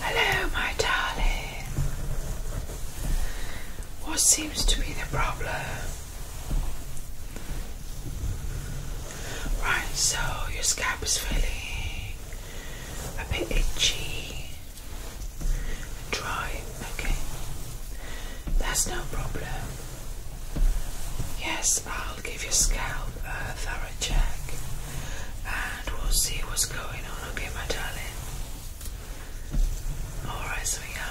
Hello, my darling. What seems to be the problem? Right, so your scalp is feeling a bit itchy, and dry, okay. That's no problem. Yes, I'll give your scalp a thorough check and we'll see what's going on, okay, my darling? Alright, sweetheart.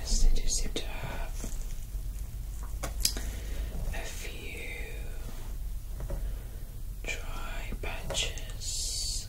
Yes, they do seem a few dry patches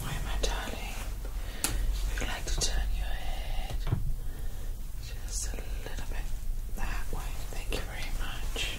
why am darling? Would you like to turn your head just a little bit that way? Thank you very much.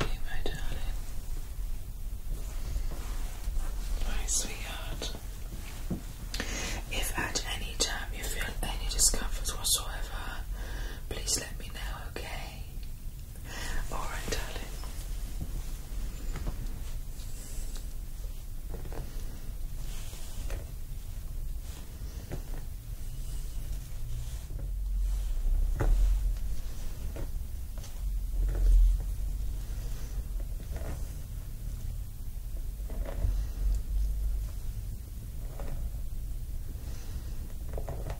Thank you, my darling. My sweetheart. If at any time you feel any discomfort whatsoever, please let me know, okay? Alright, darling.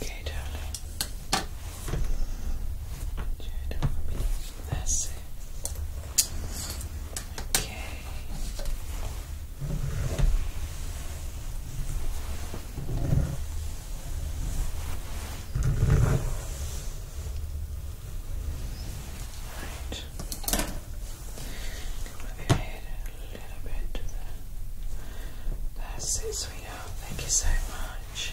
Okay, darling. That's it. Okay. Right. Come your head a little bit to the. Thank you so much.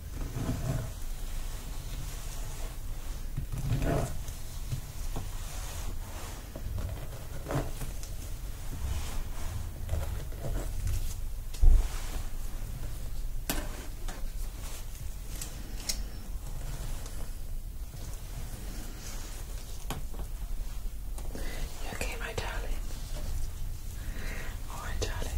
okay, my darling? All right, darling.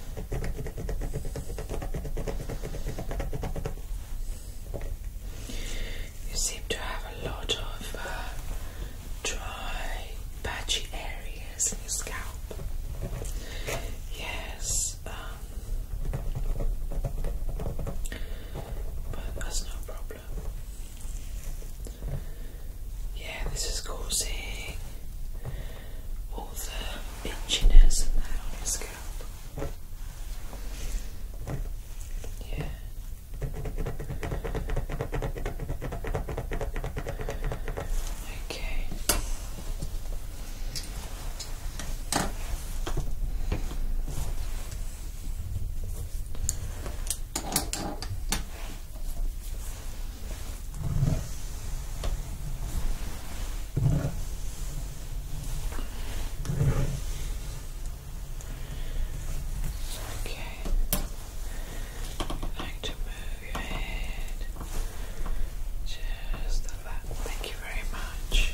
You seem to have a lot of uh, dry, patchy areas in your scalp. Yes, um, but that's no problem. Yeah, this is causing all the engineers and that on your scalp. Yeah. Okay. Okay. like to move your head just like that. Thank you very much.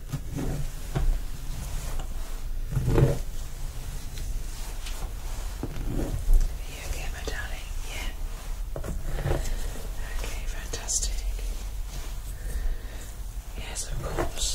Are you okay, my darling? Yeah. Okay, fantastic. Yes, of course.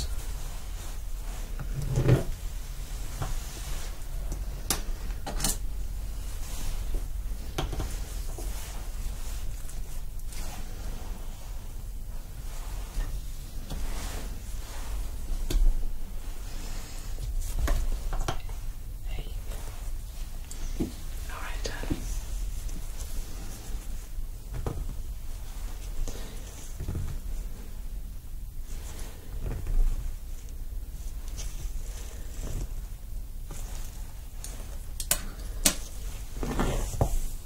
Hey. All right,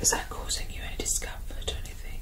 Is that causing you any discomfort or anything?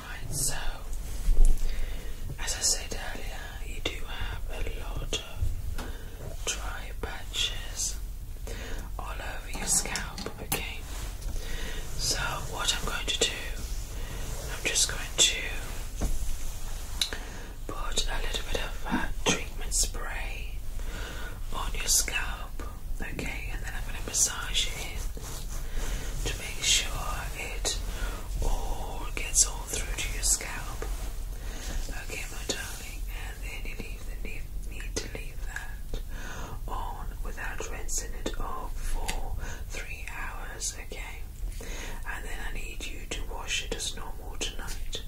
Right, so as I said earlier, you do have a lot of dry patches all over your scalp. Okay, so what I'm going to do, I'm just going to put a little bit of uh, treatment spray on your scalp. Okay, and then I'm going to massage it to make sure it all gets all through to your scalp. Okay, my darling, and then you leave the need, need to leave that on without rinsing it off for three hours, okay? And then I need you to wash it as normal tonight.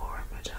Alright, my darling.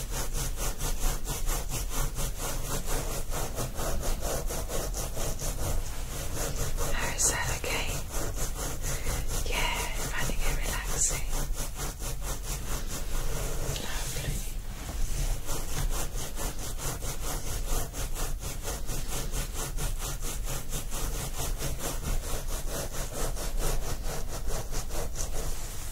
Oh, is that okay? Yeah, finding it relaxing. Lovely.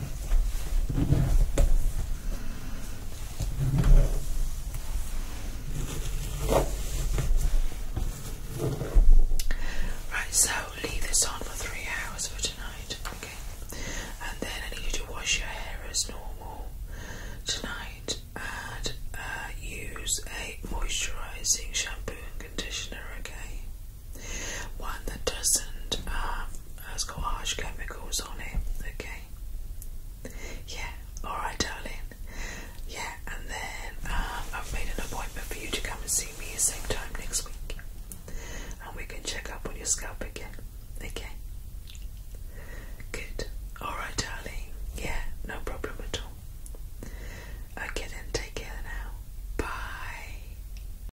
Right, so leave this on for three hours for tonight, okay? And then I need you to wash your hair as normal tonight and uh, use a moisturising shampoo and conditioner, okay? one that doesn't um, has got harsh chemicals on it. Okay. Yeah. All right, darling. Yeah, and then um, I've made an appointment for you to come and see me same time next week, and we can check up on your scalp again. Okay. Good. All right, darling. Yeah, no problem at all. I Okay, then. Take care now. Bye.